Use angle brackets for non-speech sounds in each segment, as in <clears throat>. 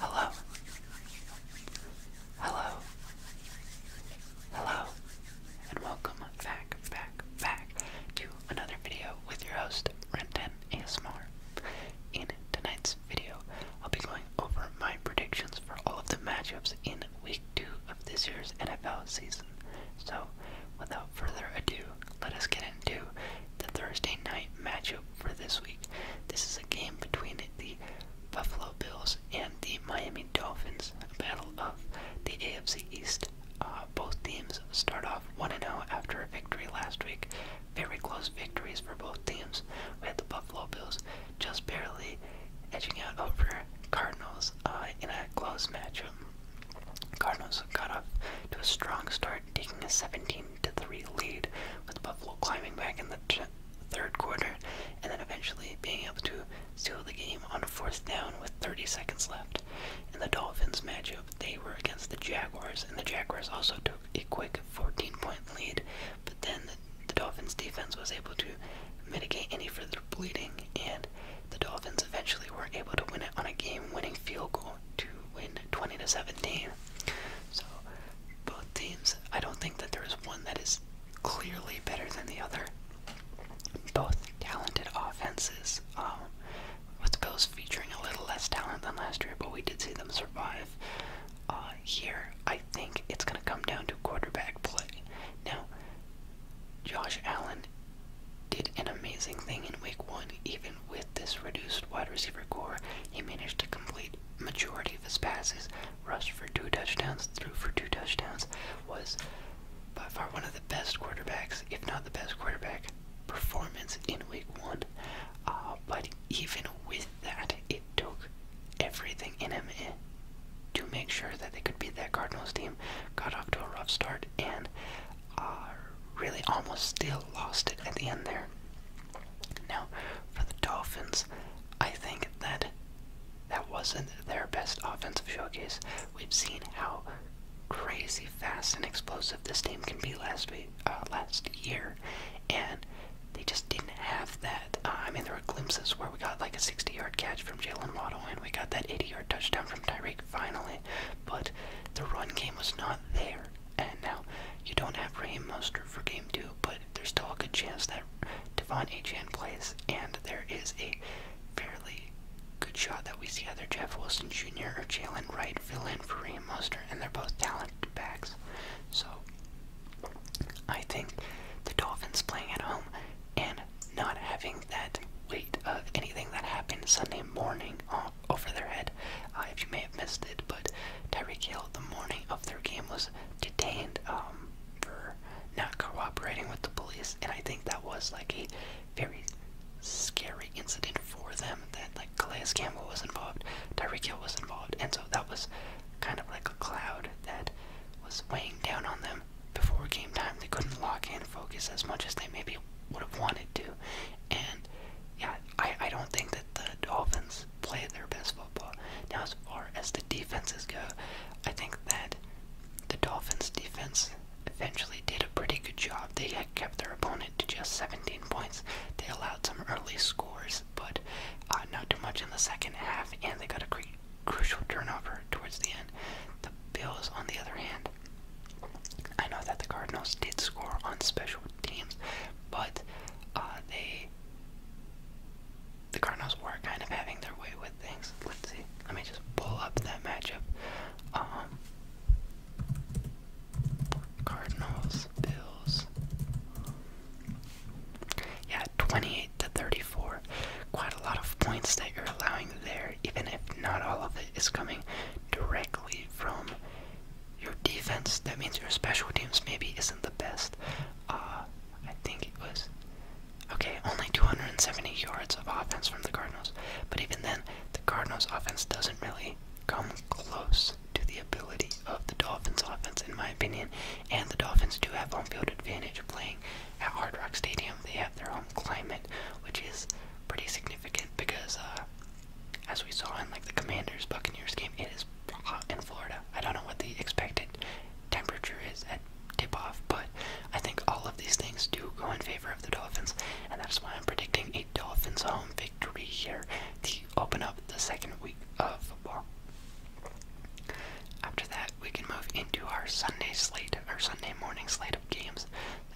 Hello. Hello. Hello. And welcome back, back, back to another video with your host, Renton ASMR. In tonight's video, I'll be going over my predictions for all of the matchups in week two of this year's NFL season. So, without further ado, let us get into the Thursday night matchup for this week. This is a game between the Buffalo Bills and the Miami Dolphins, a battle of the AFC East. Uh, both teams start off 1 0 after a victory last week. Very close victories for both teams. We had the Buffalo Bills just barely edging out over Cardinals uh, in a close matchup. Cardinals got off to a strong start, taking a 17 7-3 lead, with Buffalo climbing back in the third quarter and then eventually being able to steal the game on fourth down with 30 seconds left. In the Dolphins matchup, they were against the Jaguars, and the Jaguars also took a quick 14-point lead, but then the Dolphins defense was able to mitigate any further bleeding, and the Dolphins eventually were able to win it on a game-winning field goal to win 20 to seventeen. So both teams, I don't think that there is one that is clearly better than the other. Both talented offenses. Um, with the Bills featuring a little less talent than last year, but we did see them survive. Uh, here, I think it's going to come down to quarterback play. Now, Josh Allen did an amazing thing in week one, even with this reduced wide receiver core, he managed to complete majority of his passes, rushed for two touchdowns, threw for two touchdowns, was by far one of the best quarterbacks, if not the best quarterback performance in week one. Uh, but even with that, it took everything in him eh, to make sure that they could beat that Cardinals team. Got off to a rough start and uh, really almost still lost it at the end there. Now, for the Dolphins, I think that that wasn't their best offensive showcase. We've seen how crazy fast and explosive this team can be last week, uh, last year, and they just didn't have that. Uh, I mean, there were glimpses where we got like a 60-yard catch from Jalen Waddle, and we got that 80-yard touchdown from Tyreek finally, but the run game was not there. And now, you don't have Raheem Mostert for game two, but there's still a good chance that Devon Achan plays, and there is a fairly good shot that we see either Jeff Wilson Jr. or Jalen Wright fill in for Raheem Mostert, and they're both talented backs. So, I think the Dolphins playing at home and not having that weight of anything that happened Sunday morning uh, over their head, uh, if you may have missed it. But Tyreek Hill, the morning of their game, was detained um, for not cooperating with the police, and I think that was like a very scary incident for them. That like Calais Campbell was involved, Tyreek Hill was involved, and so that was kind of like a cloud that was weighing down on them before game time. They couldn't lock in, focus as much as they maybe would have wanted to. And yeah, I, I don't think that the Dolphins played their best football. Now, as far as the defenses go, I think that the Dolphins' defense eventually did a pretty good job. They kept their opponent to just 17 points. They allowed some early scores, but uh, not too much in the second half, and they got a crucial turnover towards the end. The Bills, on the other hand, I know that the Cardinals did score on special teams, but uh, they. The Cardinals were kind of having their way with things. Let's see. Let me just pull up that matchup. Um, Cardinals, Bills. Yeah, 28 to 34. Quite a lot of points that you're allowing there, even if not all of it is coming directly from your defense, that means your special teams maybe isn't the best. Uh, I think it was, okay, only 270 yards of offense from the Cardinals. But even then, the Cardinals' offense doesn't really come close to the ability of the Dolphins' offense, in my opinion. And the Dolphins do have home field advantage playing at Hard Rock Stadium. They have their own climate, which is pretty significant because uh, as we saw in like the Commanders Buccaneers game, it is hot in Florida. I don't know what the expected temperature is at tip off, but I think all of these things do go in favor of the Dolphins, and that's why I'm predicting a Dolphins home victory here to open up the second week of football. After that, we can move into our Sunday slate, our Sunday morning slate of games.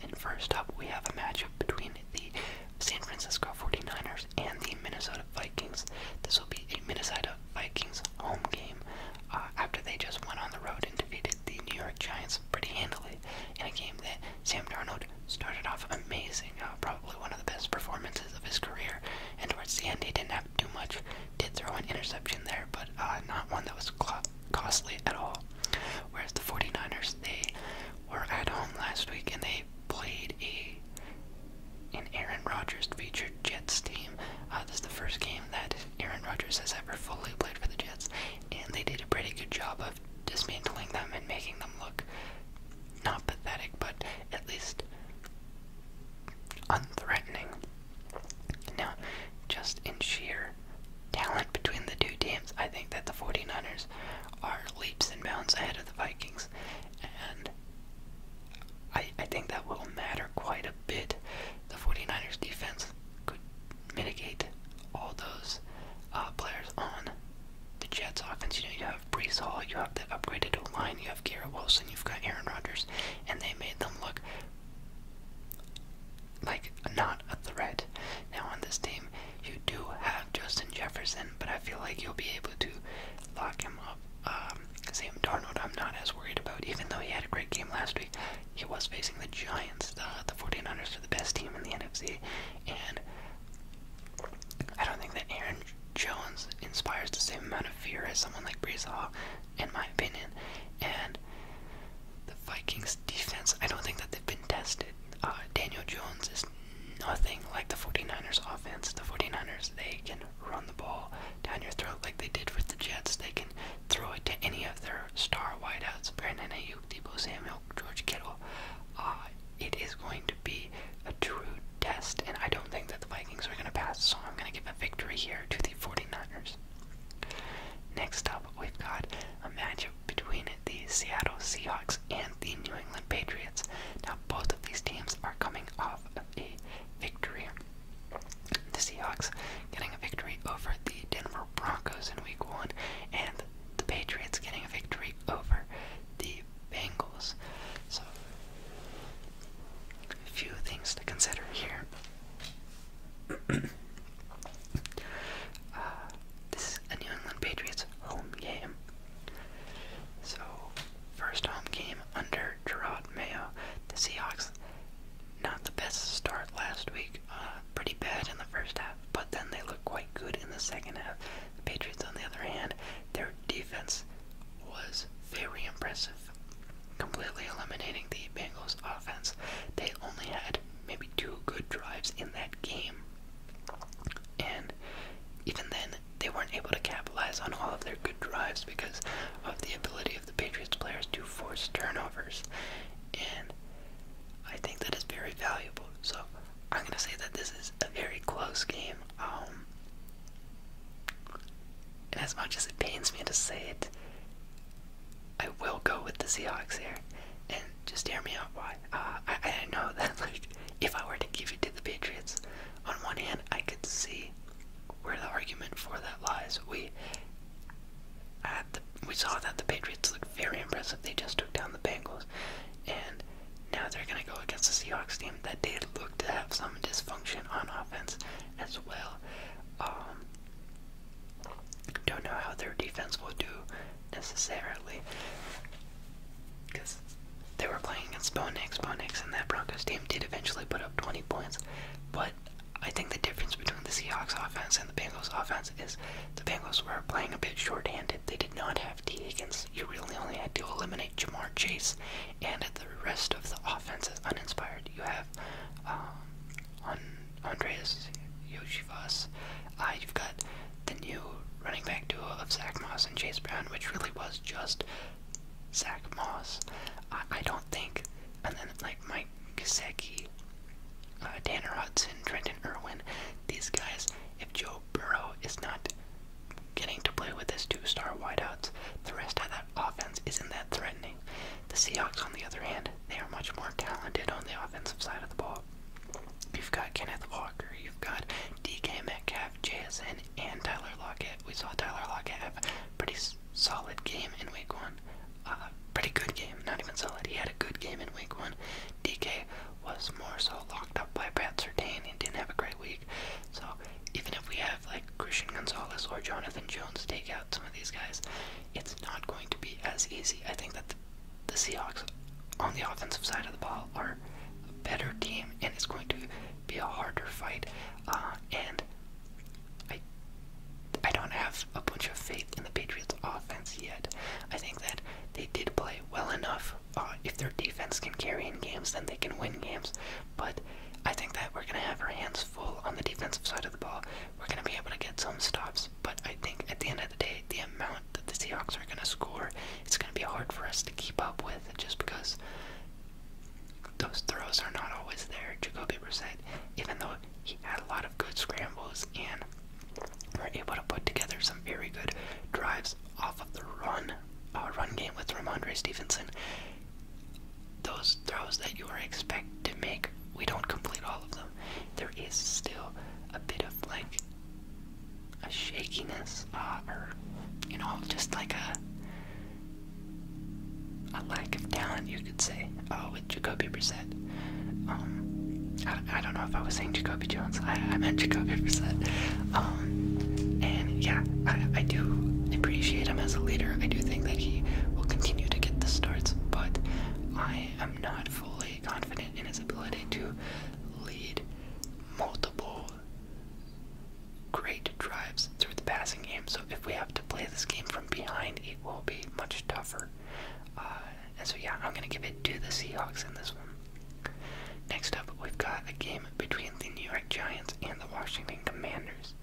And first up, we have a matchup between the San Francisco 49ers and the Minnesota Vikings. This will be a Minnesota Vikings home game uh, after they just went on the road and defeated the New York Giants pretty handily in a game that Sam Darnold started off amazing, uh, probably one of the best performances of his career. And towards the end, he didn't have too much. Did throw an interception there, but uh, not one that was costly at all. Whereas the 49ers, they were at home last week and they played a an Aaron Rodgers featured Jets team. Uh, this is the first game that Aaron Rodgers has ever fully played for the Jets, and they did a pretty good job of dismantling them and making them look not pathetic, but at least unthreatening. Now, just in sheer talent between the two teams, I think that the 49ers are leaps and bounds ahead of the Vikings. And I, think that will matter quite a bit. The 49ers defense could mitigate all those uh, players on the Jets offense. You know, you have Brees Hall, you have the upgraded line, you have Garrett Wilson, you've got Aaron Rodgers, and they made them look like not a threat. Now on this team, you do have Justin Jefferson, but I feel like you'll be able to lock him up. Same um, Sam Darnold, I'm not as worried about, even though he had a great game last week. He was facing the Giants. The, uh, the 49ers are the best team in the NFC, and I don't think that Aaron Jones inspires the same amount of fear as someone like Brees in my opinion. And the Vikings defense, I don't think that they've been tested. Uh, Daniel Jones is nothing like the 49ers offense. The 49ers, they can run the ball down your throat like they did with the Jets. They can throw it to any of their star wideouts, Brandon Ayuk, Debo Samuel, George Kittle. Uh, it is going to be a true test, and I don't think that the Vikings are going to pass, so I'm going to give a victory here to the 49ers. Next up, we've got a matchup between the Seattle Seahawks, and the New England Patriots. Now, both of these teams are coming off of a victory. The Seahawks getting a victory over the Denver Broncos in week one, and the Patriots getting a victory over the Bengals. So, a few things to consider here. <clears throat> Uh, this is a New England Patriots home game. So, first home game under Gerard Mayo. The Seahawks, not the best start last week. Uh, pretty bad in the first half, but then they looked quite good in the second half. The Patriots, on the other hand, their defense was very impressive, completely eliminating the Bengals' offense. They only had had maybe two good drives in that game. And even then, they weren't able to capitalize on all of their good drives because of the ability of the Patriots players to force turnovers. And I think that is very valuable. So I'm going to say that this is a very close game. Um, and as much as it pains me to say it, I will go with the Seahawks here, and just hear me out. Why? Uh, I I know that <laughs> like if I were to give it to the Patriots, on one hand I could see where the argument for that lies. We uh, the, we saw that the Patriots looked very impressive. They just took down the Bengals, and now they're gonna go against the Seahawks team that did look to have some dysfunction on offense as well. Um, don't know how their defense will do necessarily. Because they were playing against Bo Nix. and that Broncos team did eventually put up 20 points. But I think the difference between the Seahawks offense and the Bengals offense is the Bengals were playing a bit short-handed. They did not have T. Higgins. You really only had to eliminate Jamar Chase. And the rest of the offense is uninspired. You have um, Andreas Yoshivas. Uh, you've got the new running back duo of Zach Moss and Chase Brown, which really was just Zach Moss. I, don't think, and then like Mike Gesicki, uh, Tanner Hudson, Trenton Irwin, these guys. If Joe Burrow is not getting to play with his two-star wideouts, the rest of that offense isn't that threatening. The Seahawks, on the other hand, they are much more talented on the offensive side of the ball. You've got Kenneth Walker, you've got DK Metcalf, JSN, and Tyler Lockett. We saw Tyler Lockett have a pretty solid game in week one. Uh, pretty good game, not even solid. He had a good game in week one. DK was more so locked up by Pat Sertain and didn't have a great week. So even if we have like Christian Gonzalez or Jonathan Jones take out some of these guys, it's not going to be as easy. I think that the, Seahawks on the offensive side of the ball are a better team, and it's going to be a harder fight. Uh, and I, I don't have a bunch of faith in the Patriots' offense yet. I think that they did play well enough. Uh, if their defense can carry in games, then they can win games. But I think that we're going to have our hands full on the defensive side of the ball we're going to be able to get some stops. But I think at the end of the day, the amount that the Seahawks are going to score, it's going to be hard for us to keep up with just because those throws are not always there. Jacoby Brissett, even though he had a lot of good scrambles and we're able to put together some very good drives off of the run, our uh, run game with Ramondre Stevenson, those throws that you are expected to make, we don't complete all of them there is still a bit of like a shakiness, uh, or you know, just like a a lack of talent, you could say, Oh, with Jacoby Brissett. Um, I, I don't know if I was saying Jacoby Jones. I, I meant Jacoby Brissett. Um, and yeah, I, I do appreciate him as a leader. I do think that he will continue to get the starts, but I am not fully confident in his ability to lead multiple great drives through the passing game. So if we have to play this game from behind, it will be much tougher. Uh, and so yeah, I'm gonna give it to the Seahawks in this one. Next up, we've got a game between the New York Giants and the Washington Commanders.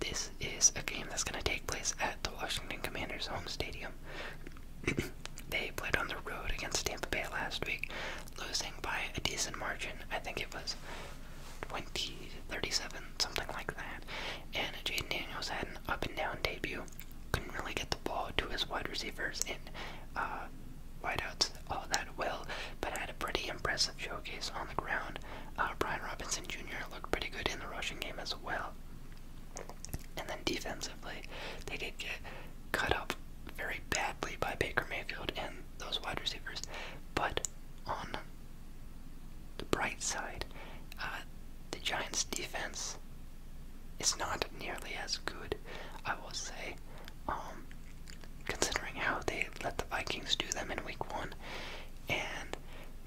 This is a game that's going to take place at the Washington Commanders home stadium. <clears throat> they played on the road against Tampa Bay last week, losing by a decent margin. I think it was 20 37, something like that. And Jaden Daniels had an up and down debut. Couldn't really get the ball to his wide receivers and uh, wideouts all that well, but had a pretty impressive showcase on the ground. Uh, Brian Robinson Jr. looked pretty good in the rushing game as well. And then defensively, they did get cut up very badly by Baker Mayfield and those wide receivers. But on the bright side, uh, the Giants' defense is not nearly as good, I will say, um, considering how they let the Vikings do them in week one. And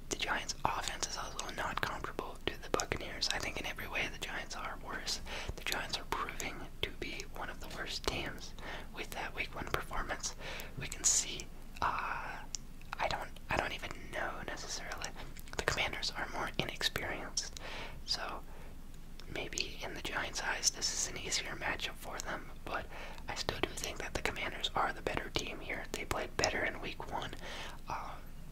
the Giants' offense is also not comparable to the Buccaneers. I think in every way the Giants are worse. The Giants are proving to be one of the worst teams with that Week One performance. We can see. Uh, I don't. I don't even know necessarily. The Commanders are more inexperienced, so maybe in the Giants' eyes this is an easier matchup for them. But I still do think that the Commanders are the better team here. They play better in week one. Uh,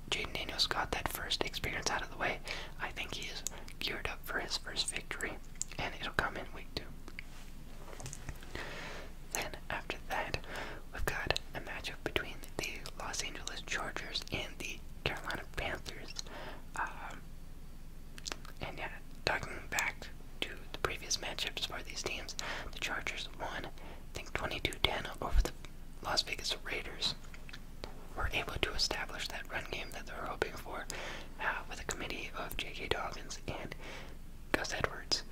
Jaden Daniels got that first experience out of the way. I think he is geared up for his first victory, and it'll come in week two. Then, after that, we've got a matchup between the Los Angeles Chargers and the Carolina Panthers. Um, and yeah, talking back to the previous matchups for these teams, the Chargers won think 22-10 over the Las Vegas Raiders were able to establish that run game that they were hoping for uh, with a committee of J.K. Dobbins and Gus Edwards.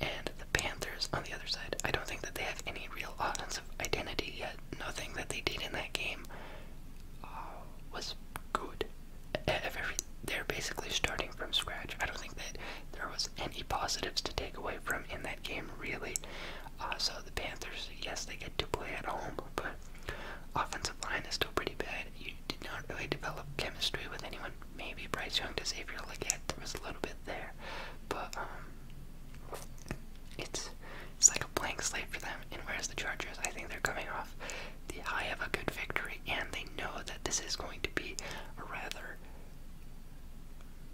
And the Panthers on the other side, I don't think that they have any real offensive identity yet. Nothing that they did in that game uh, was good. they're basically starting from scratch. I don't think that there was any positives to take away from in that game, really. Uh, so the Panthers, yes, they get to play at home, but offensive line is still pretty bad. You did not really develop chemistry with anyone. Maybe Bryce Young to Xavier Leggett, there was a little bit there, but um, it's it's like a blank slate for them. And whereas the Chargers, I think they're coming off the high of a good victory, and they know that this is going to be a rather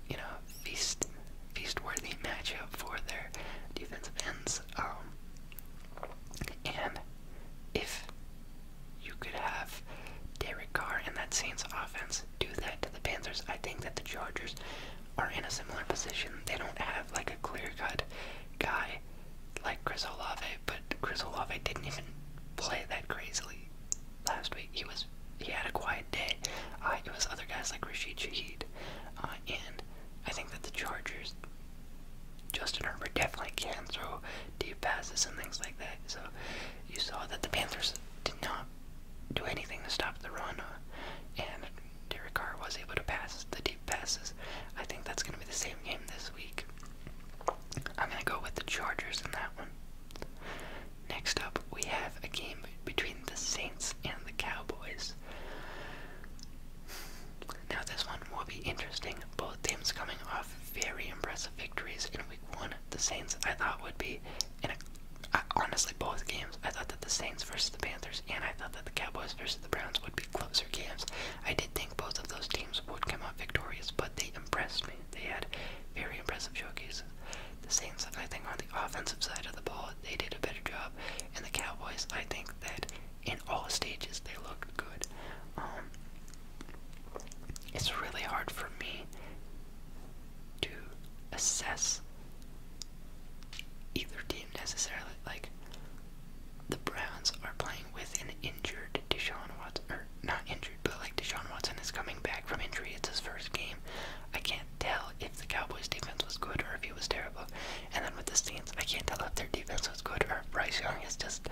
you know, feast feast worthy matchup for their defensive ends. Um, and if you could have Derek Carr and that Saints offense do that to the Panthers, I think that the Chargers are in a similar position. They don't have like a clear-cut guy like Chris Olave, but Chris Olave didn't even play that crazily last week. He was he had a quiet day. Uh, it was other guys like Rashid Shaheed, uh, and I think that the Chargers, Justin Herbert definitely can throw deep passes and things like that. So you saw that the Panthers did not do anything to stop the run, uh, and Derek Carr was able to pass the deep passes. I think that's going to be the same game this week. I'm going to go with the Chargers in that one. Next up, we have a game between the Saints and the Cowboys. Now, this one will be interesting. Both teams coming off very impressive victories in week one. The Saints, I thought, would be in a, honestly, both games, I thought that the Saints versus the Panthers and I thought that the Cowboys versus the Browns would be closer games. I did think both of those teams would come out victorious, but they impressed me. They had very impressive showcases. The Saints, I think, on the offensive side of the ball, they did a better job. And the Cowboys, I think that in all stages they look good. Um, it's really hard for me to assess either team necessarily. Like, the Browns are playing with an injured Deshaun Watson, or not injured, but like Deshaun Watson is coming back from injury. It's his first game. I can't tell if the Cowboys' defense was good or if it was terrible. And then with the Saints, I can't tell if their defense was good or if Bryce Young is just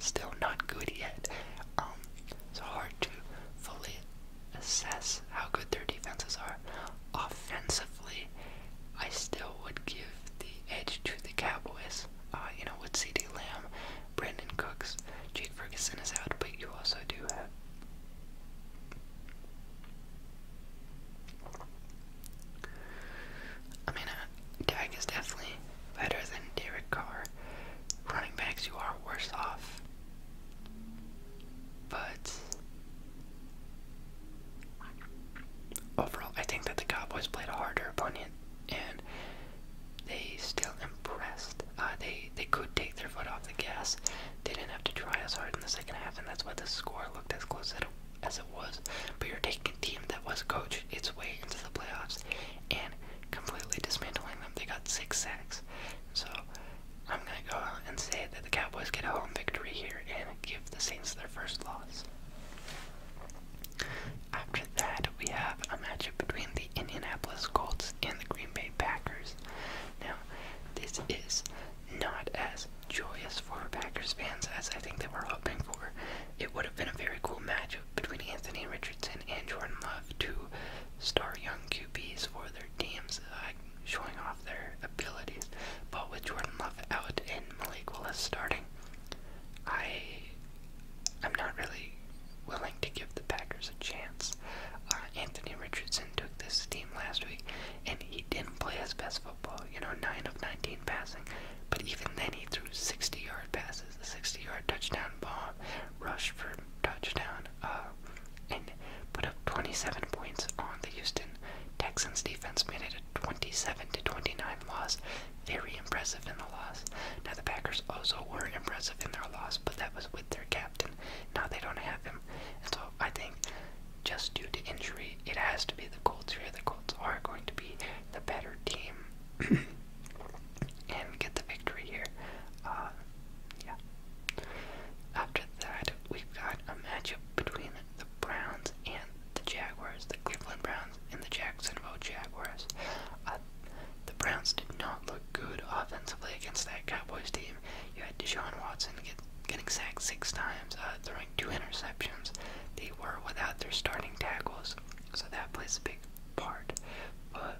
still not good yet. Um, it's hard to fully assess how good their defenses are. Offensively, I still would give the edge to the Cowboys. Uh, you know, with C.D. Lamb Brandon Cooks, Jake Ferguson is out, but you also do have. I mean, uh, Dak is definitely better than Derek Carr. Running backs, you are worse off. But overall, I think that the Cowboys played a harder opponent and they still impressed. Uh, they they could take their foot off the gas. They didn't have to try as hard in the second half, and that's why the score looked as close as it, as it was. But you're taking a team that was coached its way into the playoffs and completely dismantling them. They got six sacks. So I'm gonna go out and say that the Cowboys get a home victory here and give the Saints their first loss. After that, we have a matchup between the Indianapolis Colts and the Green Bay Packers. Now, this is not as joyous for Packers fans as I think they were hoping for. It would have been a very cool matchup between Anthony Richardson and Jordan Love, to star young QBs for their teams, showing off their abilities. But with Jordan Love out and Malik Willis starting, I I'm not really willing to give the Packers a chance. Uh, Anthony Richardson took this team last week, and he didn't play his best football. You know, 9 of 19 passing, but even then he threw 60 yard passes, a 60 yard touchdown bomb, rush for touchdown, uh, and put up 27 points on the Houston Texans defense, made it a 27 to 29 loss. Very impressive in the loss. Now, the Packers also were impressive because of him they were lost, but that was with their captain. Now they don't have him. And so I think just due to injury, it has to be the Colts here. The Colts are going to be the better team and get the victory here. Uh, yeah. After that, we've got a matchup between the Browns and the Jaguars, the Cleveland Browns and the Jacksonville Jaguars. Uh, shot. The Browns did not look good offensively against that Cowboys team. You had Deshaun Watson get, getting sacked six times, uh, throwing two interceptions. They were without their starting tackles, so that plays a big part. But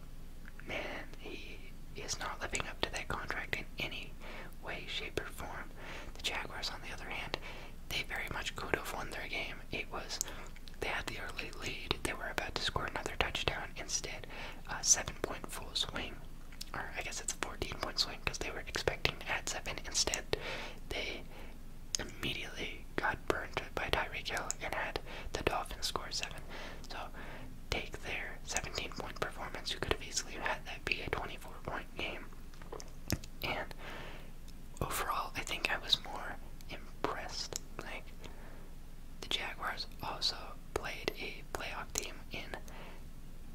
man, he is not living up to that contract in any way, shape, or form. The Jaguars, on the other hand, they very much could have won their game. It was they had the early lead. They were about to score another touchdown. Instead, a uh, seven-point full swing, or I guess it's a 14-point swing because they were expecting to add seven. Instead, they immediately got burned by Tyreek Hill and had the Dolphins score seven. So take their 17-point performance. You could have easily had that be a 24-point game. And overall, I think I was more impressed. Like the Jaguars also played a playoff team in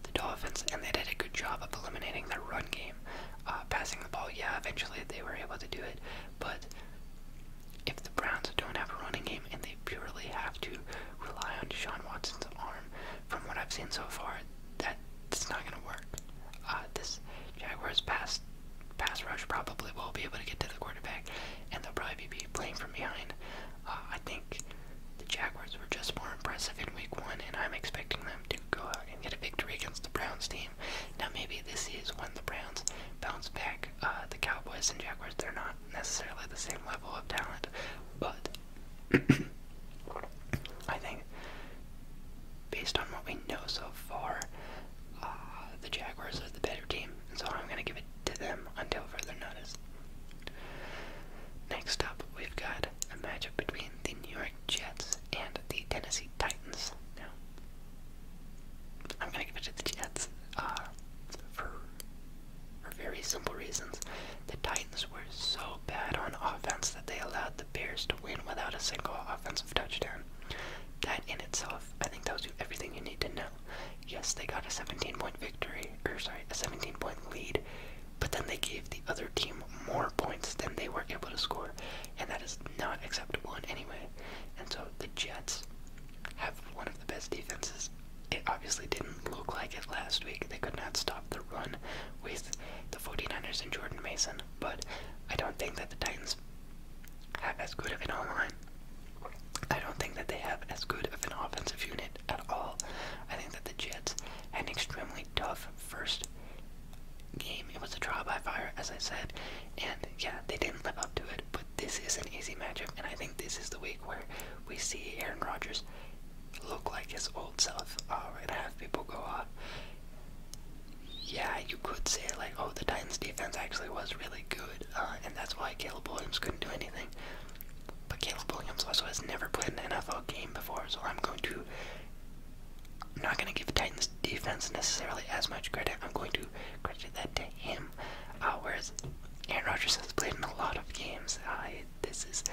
the Dolphins, and they did a good job of eliminating their run game. Uh, passing the ball, yeah, eventually they were able to do it, but if the Browns don't have a running game and they purely have to rely on Deshaun Watson's arm, from what I've seen so far, that's not going to work. Uh, this Jaguars pass pass rush probably will be able to get to the quarterback, and they'll probably be playing from behind. Uh, I think the Jaguars were just more impressive in Week One, and I'm expecting them to go out and get a victory against the Browns team. Now maybe this is when the Browns bounce back. Uh, the Cowboys and Jaguars they're not necessarily the same level of talent, but <coughs> I think based on what we know so far, uh, the Jaguars are the better team, so I'm going to give it to them until further notice. Next up, we've got a matchup between the New York Jets and the Tennessee Titans. Now, I'm going to give it to the Jets uh, for very simple reasons. The Titans were so bad on offense that they allowed the Bears to win without a single offensive touchdown. That in itself, I think tells you everything you need to know. Yes, they got a 17 point victory, or sorry, a 17 point lead, but then they gave the other team more points than they were able to score, and that is not acceptable in any way. And so the Jets have one of the best defenses. It obviously didn't look like it last week. They could not stop the run with the 49ers and Jordan Mason, but I don't think that the Titans have as good of an online. I don't think that they have as good of an offensive unit at all. I think that the Jets had an extremely tough first game. It was a trial by fire, as I said, and yeah, they didn't live up to it. But this is an easy matchup, and I think this is the week where we see Aaron Rodgers look like his old self. All right, have people go off yeah, you could say like, oh, the Titans' defense actually was really good, uh, and that's why Caleb Williams couldn't do anything. But Caleb Williams also has never played an NFL game before, so I'm going to. not going to give the Titans' defense necessarily as much credit. I'm going to credit that to him. Uh, whereas Aaron Rodgers has played in a lot of games. this is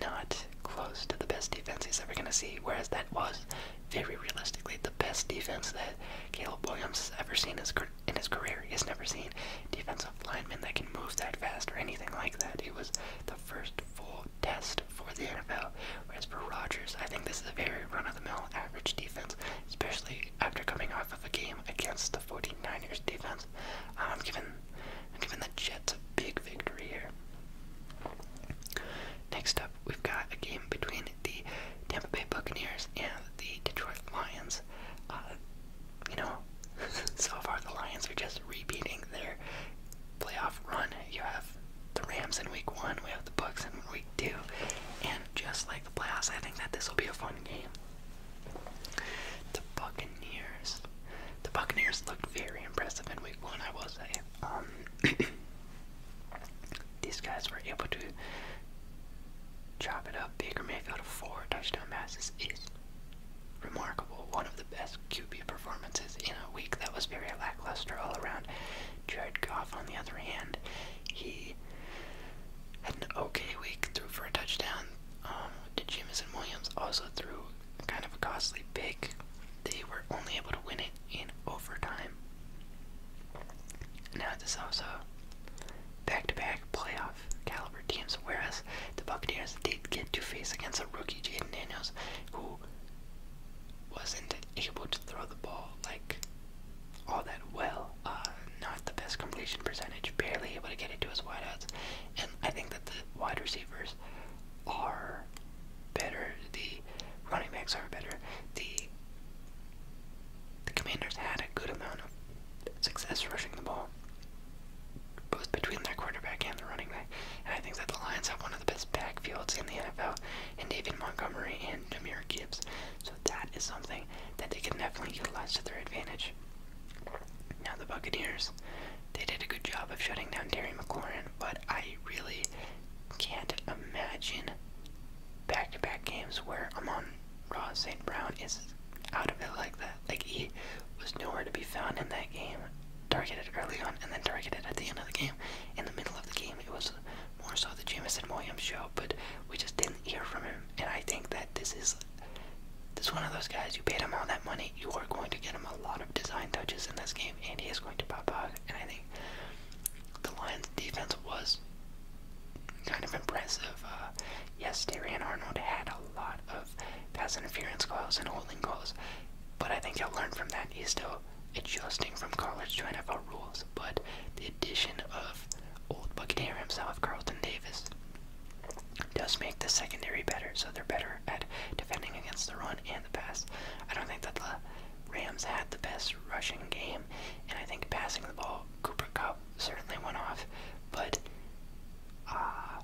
not close to the best defense he's ever going to see, whereas that was very realistically, the best defense that Caleb Williams has ever seen in his career. He has never seen defensive linemen that can move that fast or anything like that. It was the first full test for the NFL. As for Rodgers, I think this is a very run-of-the-mill average defense, especially after coming off of a game against the 49ers defense. I'm um, giving, giving the Jets a big victory here. Next up, we've got a game between the Tampa Bay Buccaneers and the Detroit Lions. Uh, you know, <laughs> so far the Lions are just repeating their playoff run. You have the Rams in week one, we have the Bucks in week two, and just like the playoffs, I think that this will be a fun game. The Buccaneers. The Buccaneers looked very impressive in week one, I will say. Um, <clears throat> These guys were able to chop it up. Baker Mayfield of four touchdown passes is remarkable. One of the best QB performances in a week that was very lackluster all around. Jared Goff, on the other hand, he had an okay week, threw for a touchdown. Um, to Williams also threw kind of a costly pick. They were only able to win it in overtime. Now this is also back-to-back playoff caliber teams, whereas the Buccaneers did get to face against a rookie Jaden Daniels who wasn't able to throw the ball like all that well. Uh, not the best completion percentage, barely able to get it to his wideouts. And I think that the wide receivers are better, the running backs are better, the the Commanders had a good amount of success rushing the ball, both between their quarterback and the running back, and I think that the Lions have one of the best backfields in the NFL in David Montgomery and Jameer Gibbs, so that is something that they can definitely utilize to their advantage. Now the Buccaneers, they did a good job of shutting down Terry McLaurin, but I really can't imagine back-to-back games where I'm on Ross St. Brown is out of it like that. Like he was nowhere to be found in that game. Targeted early on and then targeted at the end of the game. In the middle of the game, it was more so the and Williams show, but we just didn't hear from him. And I think that this is this is one of those guys. You paid him all that money. You are going to get him a lot of design touches in this game, and he is going to pop up. And I think the Lions' defense was kind of impressive. Uh, yes, Darian Arnold had a lot of pass interference calls and holding calls, but I think he'll learn from that. He's still adjusting from college to NFL rules, but the addition of old Buccaneer himself, Carlton Davis, does make the secondary better, so they're better at defending against the run and the pass. I don't think that the Rams had the best rushing game, and I think passing the ball, Cooper Cup certainly went off, but uh,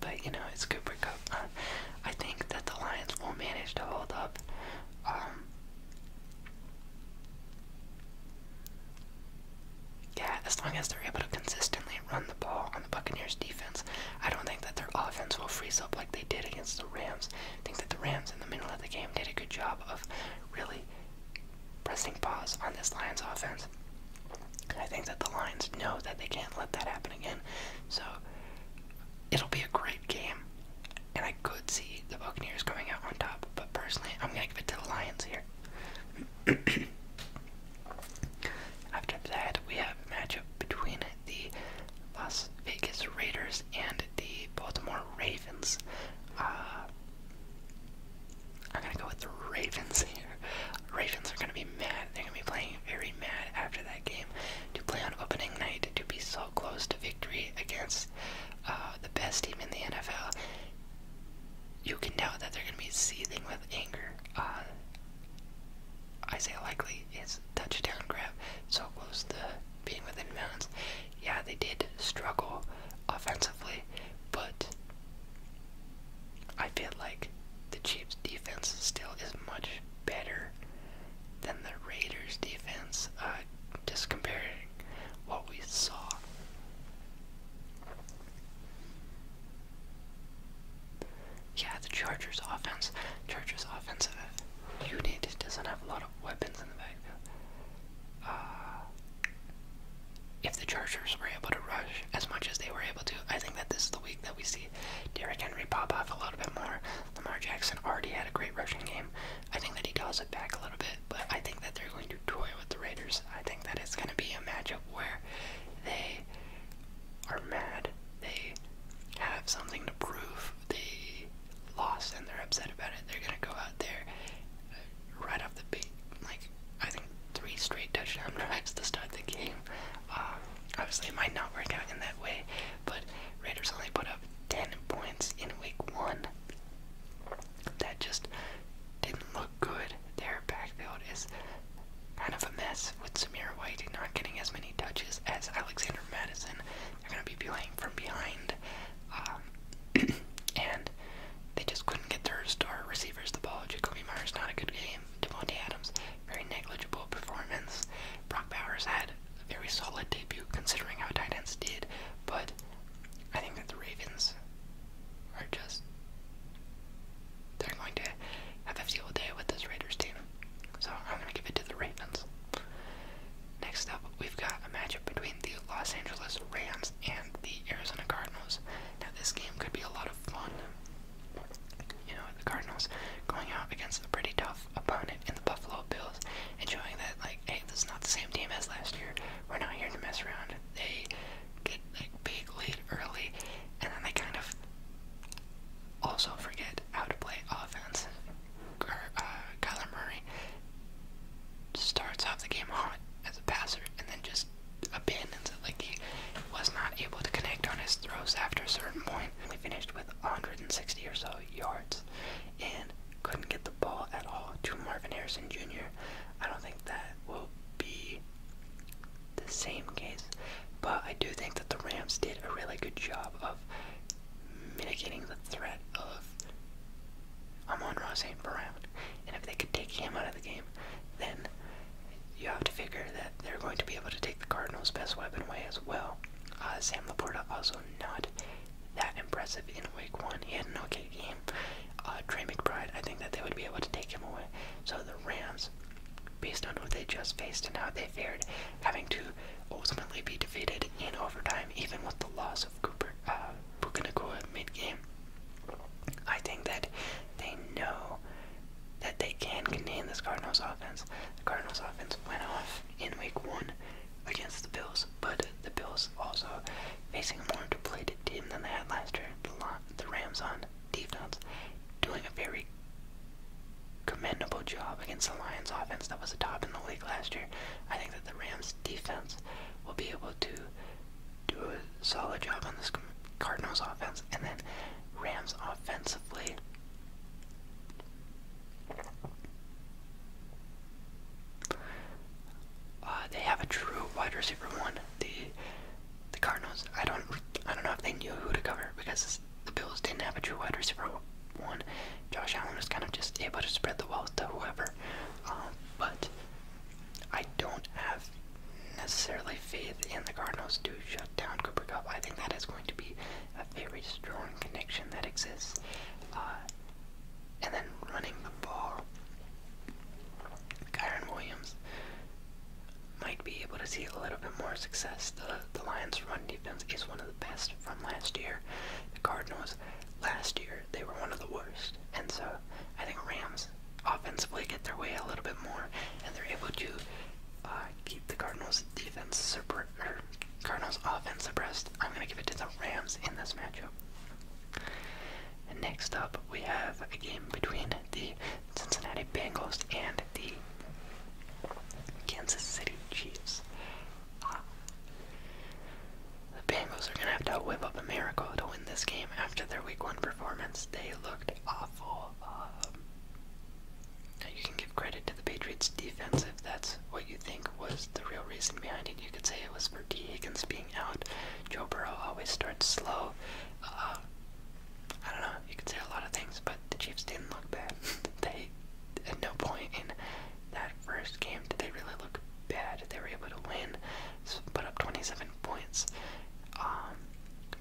but you know it's Cooper Cup. <laughs> I think that the Lions will manage to hold up. Um, yeah, as long as they're able to consistently run the ball on the Buccaneers defense, I don't think that their offense will freeze up like they did against the Rams. I think that the Rams in the middle of the game did a good job of really pressing pause on this Lions offense. I think that the Lions know that they can't let that happen again. So it'll be a great game. And I could see the Buccaneers coming out on top, but personally I'm gonna give it to the Lions here. <clears throat> After that, we have a matchup between the Las Vegas Raiders and the Baltimore Ravens. Uh, I'm gonna go with the Ravens here. Ravens are gonna be mad. They're gonna be playing very mad after that game to play on opening night to be so close to victory against uh, the best team in the NFL you can tell that they're going to be seething with anger. Uh, Isaiah Likely is touchdown grab so close to being within bounds. Yeah, they did struggle offensively, but I feel like the Chiefs' defense still is much better than the Raiders' defense. Uh, just comparing what we saw. Yeah, the Chargers offense, Chargers offensive uh, unit doesn't have a lot of weapons in the backfield. Uh, if the Chargers were able to rush as much as they were able to, I think that this is the week that we see Derrick Henry pop off a little bit more. Lamar Jackson already had a great rushing game. I think that he dials it back a little bit, but I think that they're going to toy with the Raiders I think that it's going to be a matchup where they are mad. They have something to prove. They lost and they're upset about it. They're going to go out there uh, right off the bat, Like, I think three straight touchdown <laughs> drives to start the game. Uh, obviously, it might not work out in that way, but Raiders only put up 10 points in week one. That just didn't look good. Their backfield is kind of a mess with Samir White not getting as many touches as Alexander Madison. They're going to be playing from behind. Um, <clears throat> and they just couldn't get their star receivers the ball. Jacoby Myers, not a good game. Devontae Adams, very negligible performance. Brock Bowers had a very solid debut considering how tight ends did, but I think that the Ravens are just they're going to have a field day with this Raiders team. So I'm gonna give it to the Ravens. Next up, we've got a matchup between the Los Angeles Rams and the Arizona Cardinals. Now this game could be a lot of fun. You know, the Cardinals going out against a pretty tough opponent in the Buffalo Bills and showing that like, hey, this is not the same team as last year. We're not here to mess around. They get like big late early, and then they kind of also forget how to play offense. Uh, Kyler Murray starts off the game hot as a passer and then just abandons it. Like he was not able to connect on his throws after a certain point. He finished with 160 or so yards and couldn't get the ball at all to Marvin Harrison Jr. I don't think that will be the same case, but I do think that the Rams did a really good job of mitigating the threat of Amon Ross St. Brown. And if they could take him out of the game, then you have to figure that they're going to be able to take the Cardinals' best weapon away as well. Uh, Sam Laporta also not that impressive in week one. He had an okay game, game. Uh, I think that they would be able to take him away. So the Rams, based on what they just faced and how they fared, having to ultimately be defeated in overtime, even with the loss of Cooper uh, mid-game. I think that they know that they can contain this Cardinals offense. The Cardinals offense went off in week one against the Bills, but the Bills also facing a more depleted team than they had last year. The Rams on defense doing a very commendable job against the Lions offense that was the top in the league last year. I think that the Rams defense will be able to do a solid job on this Cardinals offense, and then Rams offensively. Uh, they have a true wide receiver one the the Cardinals. I don't I don't know if they knew who to cover because the Bills didn't have a true wide receiver one. Josh Allen was kind of just able to spread the wealth to whoever. Um, but I don't have necessarily faith in the Cardinals to shut down Cooper Cup. I think that is going to be a very strong connection that exists. Uh, and then running the ball. Kyron Williams might be able to see a little bit more success. The, the Lions' run defense is one of the best from last year. The Cardinals, last year, they were one of the worst. And so I think Rams offensively get their way a little bit more, and they're able to uh, keep the Cardinals' defense suppressed. Cardinals' offense suppressed. I'm going to give it to the Rams in this matchup. next up, we have a game between the Cincinnati Bengals and the Kansas City Chiefs. the Bengals are going to have to whip up a miracle to win this game after their week one performance. They looked awful. Um, you can give credit to the Patriots defense that's what you think was the real reason behind it. You could say it was D T. being out. Joe Burrow always starts slow. Uh, I don't know. You could say a lot of things, but the Chiefs didn't look bad. <laughs> they at no point in that first game did they really look bad. They were able to win, put up 27 points. Um,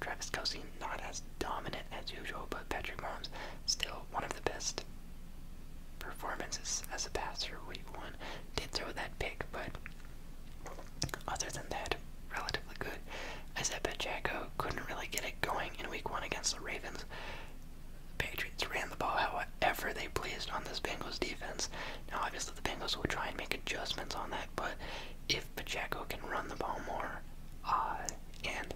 Travis Kelsey not as dominant as usual, but Patrick Mahomes still one of the best performances as a passer week one. Did throw that pick, but other than that, relatively good. I said Pacheco couldn't really get it going in week one against the Ravens. The Patriots ran the ball however they pleased on this Bengals defense. Now, obviously, the Bengals will try and make adjustments on that, but if Pacheco can run the ball more, uh, and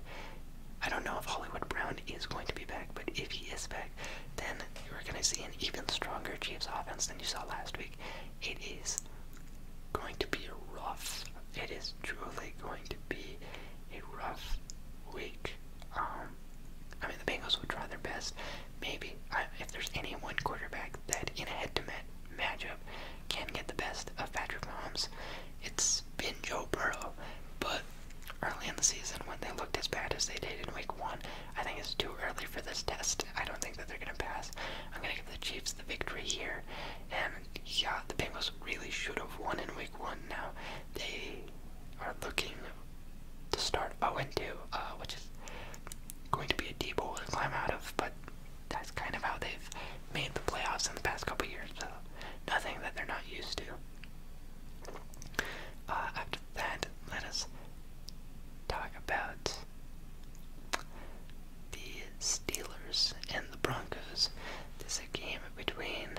I don't know if Hollywood Brown is going to be back, but if he is back, then you are going to see an even stronger Chiefs offense than you saw last week. It is going to be rough. It is truly going to be a rough week. Um, I mean, the Bengals will try their best. Maybe if there's any one quarterback that in a head-to-head matchup can get the best of Patrick Mahomes, it's been Joe Burrow. But early in the season, when they looked as bad as they did in Week One, I think it's too early for this test. I don't think that they're going to pass. I'm going to give the Chiefs the victory here. And yeah, the Bengals really should have won in week one now. They are looking to start 0 2, uh, which is going to be a deep hole to climb out of, but that's kind of how they've made the playoffs in the past couple years, so nothing that they're not used to. Uh, after that, let us talk about the Steelers and the Broncos. This is a game between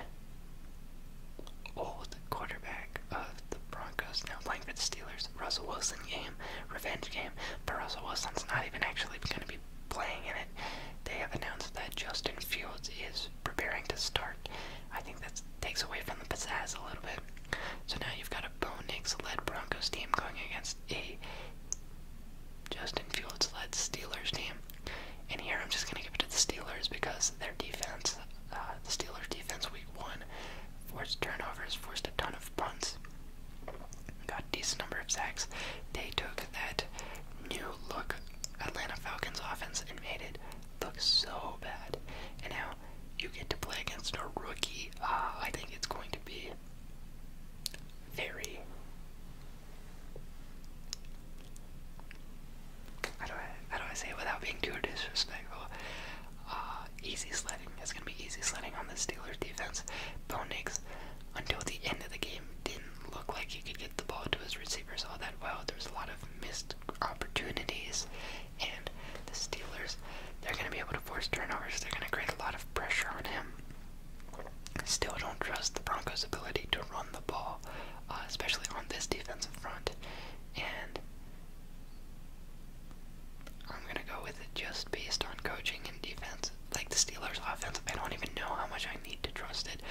old quarterback of the Broncos now playing for the Steelers, Russell Wilson game, revenge game, but Russell Wilson's not even actually going to be playing in it. They have announced that Justin Fields is preparing to start I think that takes away from the pizzazz a little bit. So now you've got a Bo Nix led Broncos team going against a Justin Fields led Steelers team. And here I'm just going to give it to the Steelers because their defense, uh, the Steelers defense week one, forced turnovers, forced a ton of punts, got a decent number of sacks. They took that new look Atlanta Falcons offense and made it look so bad. And now you get to play against a rookie. Uh, I think it's going to be very. How do I how do I say it without being too disrespectful? Uh, easy sledding. It's gonna be easy sledding on the Steelers defense. Bo Nix, until the end of the game, didn't look like he could get the ball to his receivers all that well. There was a lot of missed opportunities. And the Steelers, they're going to be able to force turnovers. They're going to create a lot of pressure on him. Still don't trust the Broncos' ability to run the ball, uh, especially on this defensive front. And I'm going to go with it just based on coaching and defense. Like the Steelers' offense, I don't even know how much I need to trust it.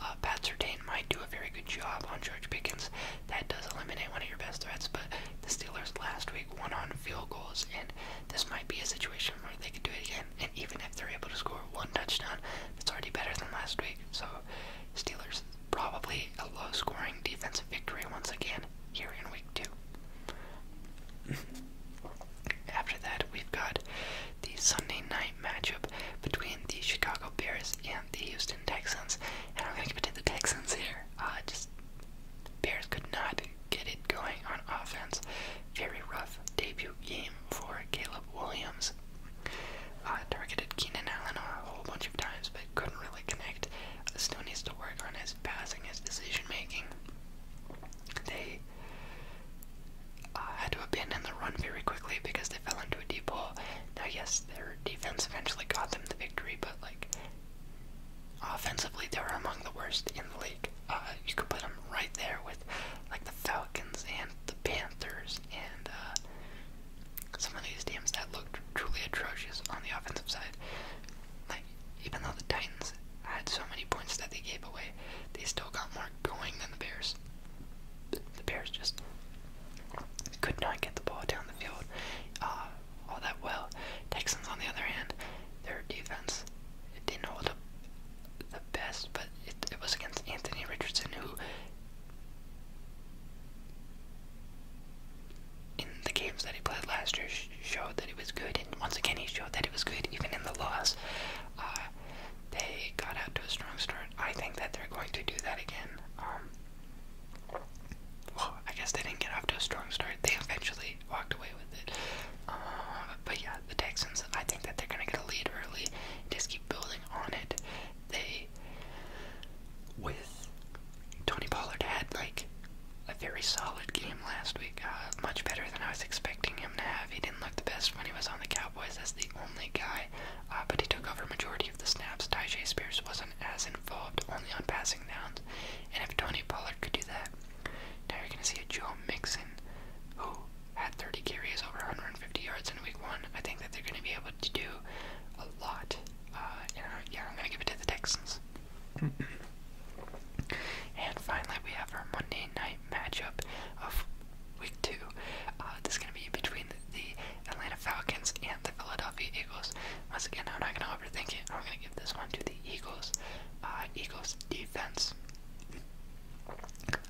Uh, Pat Sertain might do a very good job on George Pickens that does eliminate one of your best threats. But the Steelers last week won on field goals, and this might be a situation where they could do it again. And even if they're able to score one touchdown, it's already better than last week. So, Steelers probably a low scoring defensive victory once again here in week two. <laughs> After that, we've got the Sunday night matchup between the Chicago Bears and the Houston Texans. And I'm going to give it to the Texans here there. Uh, just Bears could not get it going on offense. Very rough debut game for Caleb Williams. Uh, targeted Keenan Allen a whole bunch of times, but couldn't really connect. Uh, still needs to work on his passing, his decision making. They had to abandon the run very quickly because they fell into a deep hole. Now, yes, they're defense eventually got them the victory, but like offensively they were among the worst in the league. Uh, you could put them right there with like the Falcons and the Panthers and uh, some of these teams that looked truly atrocious on the offensive side. Like even though the Titans had so many points that they gave away, they still got more points than the Bears. The Bears just could not get the ball down the field uh, all that well. Texans, on the other hand, their defense it didn't hold up the best, but it, was against Anthony Richardson, who in the games that he played last year showed that he was good, and once again he showed that he was good even in the loss. Uh, they got out to a strong start. I think that they're going to do that again. Um, well, I guess they didn't get off to a strong start. They eventually walked away with it. Uh, but yeah, the Texans, I think that they're going to get a lead early just keep building on it. They, with Tony Pollard, had like a very solid game last week. Uh, much better than I was expecting him to have. He didn't look the best when he was on the Cowboys. That's the only guy. Uh, but he took over majority of the snaps. Tajay Spears wasn't as involved only on passing downs. And if Tony Pollard could do that, now you're going to see a Joe Mixon who had 30 carries over 150 yards in week one. I think that they're going to be able to do a lot. Uh, yeah, I'm going to give it to the Texans. and finally, we have our Monday night matchup of week two. Uh, this is going to be between the Atlanta Falcons, and the Philadelphia Eagles. Once again, I'm not going to overthink it. I'm going to give this one to the Eagles. Uh, Eagles defense.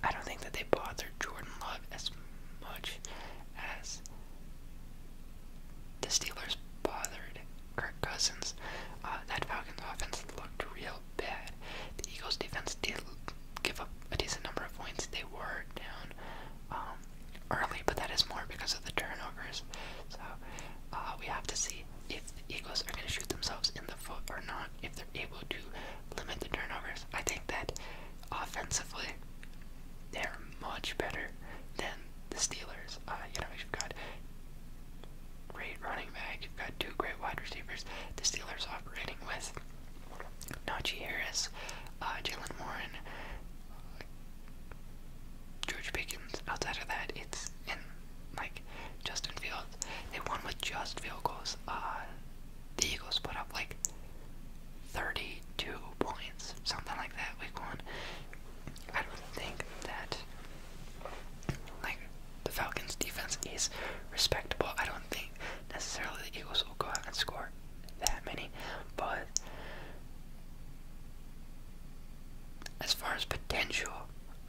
I don't think that they bother Jordan Love as much as the Steelers bothered Kirk Cousins. Uh, that Falcons offense looked real bad. The Eagles defense did give up a decent number of points. They were down um, early, but that is more because of the turnovers. So uh, we have to see if the Eagles are going to shoot themselves in the foot or not, if they're able to limit the turnovers. I think that offensively, they're much better than the Steelers. Uh, you know, you've got great running back, you've got two great wide receivers. The Steelers operating with Najee Harris, uh, Jalen Warren, George Pickens. Outside of that, it's in like Justin Fields. The one with just field goals. Uh, the Eagles put up like 32 points, something like that. Week one. I don't think that like the Falcons' defense is respectable. I don't think necessarily the Eagles will go out and score that many, but as far as potential,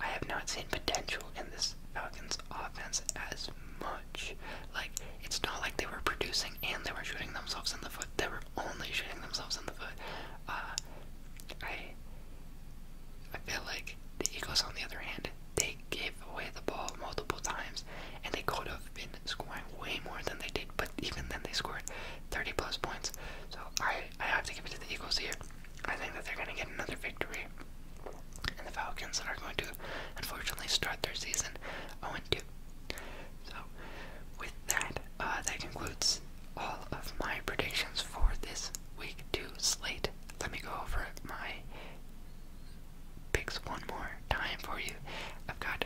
I have not seen potential in this Falcons offense as much. Like, it's not like they were producing and they were shooting themselves in the foot. They were only shooting themselves in the foot. Uh, I, I feel like the Eagles, on the other hand, they gave away the ball multiple times and they could have been scoring way more than they did. But even then, they scored 30 plus points. So I I have to give it to the Eagles here. I think that they're going to get another victory, and the Falcons are going to unfortunately start their season 0-2. So with that, uh, that concludes all of my predictions for this week two slate. Let me go over my picks one more time for you. I've got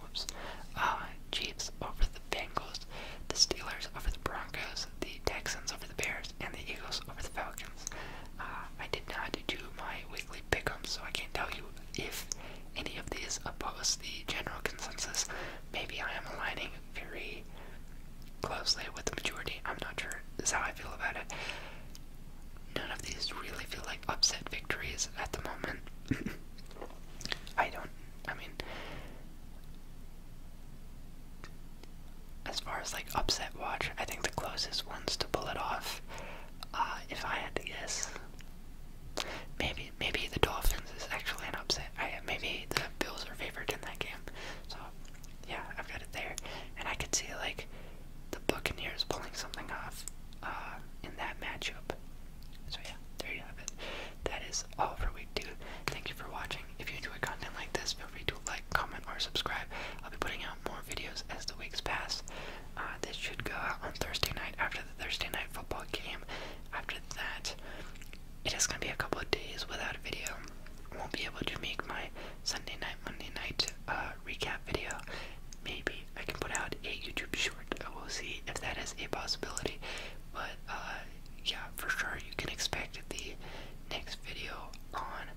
whoops, uh, Chiefs over the Bengals, the Steelers over the Broncos, the Texans over the Bears, and the Eagles over the Falcons. Uh, I did not do my weekly pick'em, so I can't tell you if any of these oppose the general consensus. Maybe I am aligning very closely with the majority. I'm not sure. This is how I feel about it. None of these really feel like upset victories at the moment. <laughs> I don't I mean, as far as like upset watch, I think the closest ones to pull it off, uh, if I had to guess, maybe maybe the Dolphins is actually an upset. maybe the Bills are favored in that game. So yeah, I've got it there, and I could see like the Buccaneers pulling something off uh, in that matchup. So yeah, there you have it. That is all for week two. Thank you for watching. If you enjoy content like this, feel free to like, comment, or subscribe. I'll be putting out more videos as the weeks pass. Uh, this should go out on Thursday night after the Thursday night football game. After that, it is going to be a couple of days without a video. I won't be able to make my Sunday night, Monday night uh, recap video. Maybe I can put out a YouTube short. I will see if that is a possibility. But uh, yeah, for sure you can expect the next video on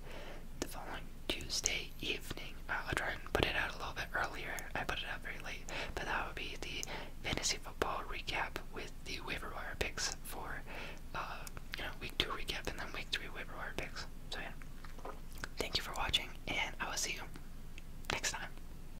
the following Tuesday evening. Uh, I'll try and put it out a little bit earlier. I put it out very late, but that would be the fantasy football recap with the waiver wire picks for uh, you know week two recap and then week three waiver wire picks. So yeah, thank you for watching, and I will see you next time.